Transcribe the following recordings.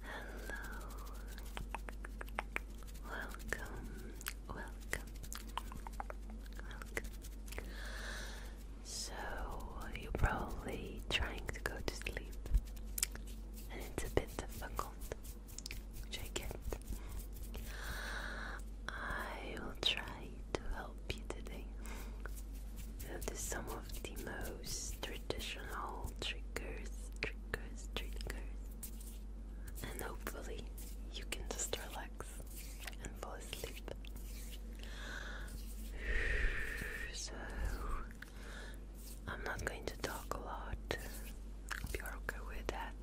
Hello. Welcome. Welcome. So, you're probably trying to go to sleep, and it's a bit difficult, which I get. I will try to help you today. This some of the most traditional triggers, triggers, triggers, and hopefully you can just relax and fall asleep. So, I'm not going to talk a lot. If you're okay with that,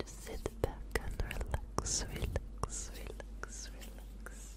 just sit back and relax, relax, relax, relax.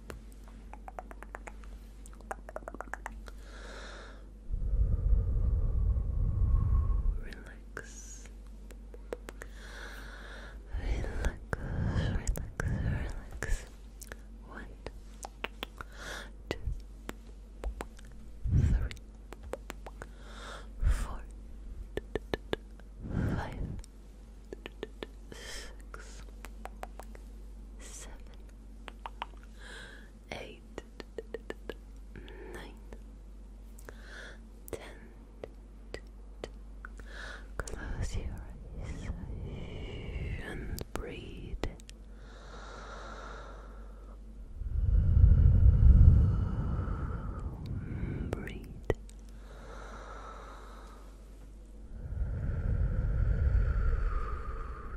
Relax. Relax, relax, relax. One, two, three, four, five, six, seven, eight, nine, ten. Close your eyes and breathe. Breathe. Breathe.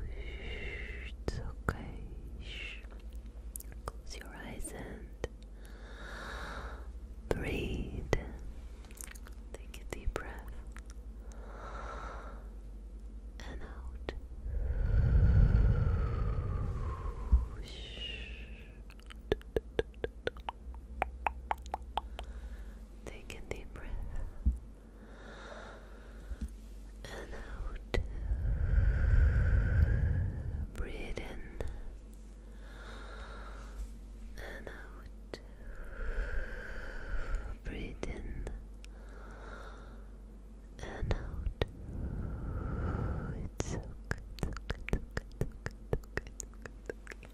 It's okay. Close your eyes and breathe. Take a deep breath. And out. Take a deep breath and out. Breathe in and out. Breathe in and out. It's so good,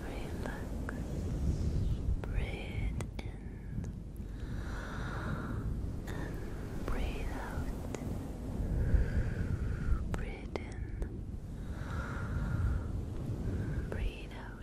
relax. Breathe in and breathe out. Breathe in, breathe out.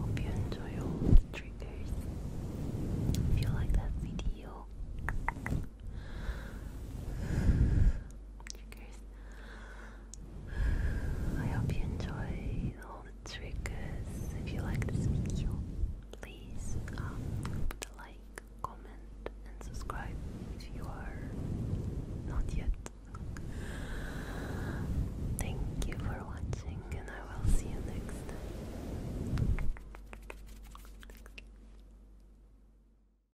Hope you enjoy all the triggers. If you like that video, triggers I hope you enjoy all the triggers. If you like this video, please um, put a like, comment, and subscribe if you are not yet. Thank you for watching, and I will see you next time.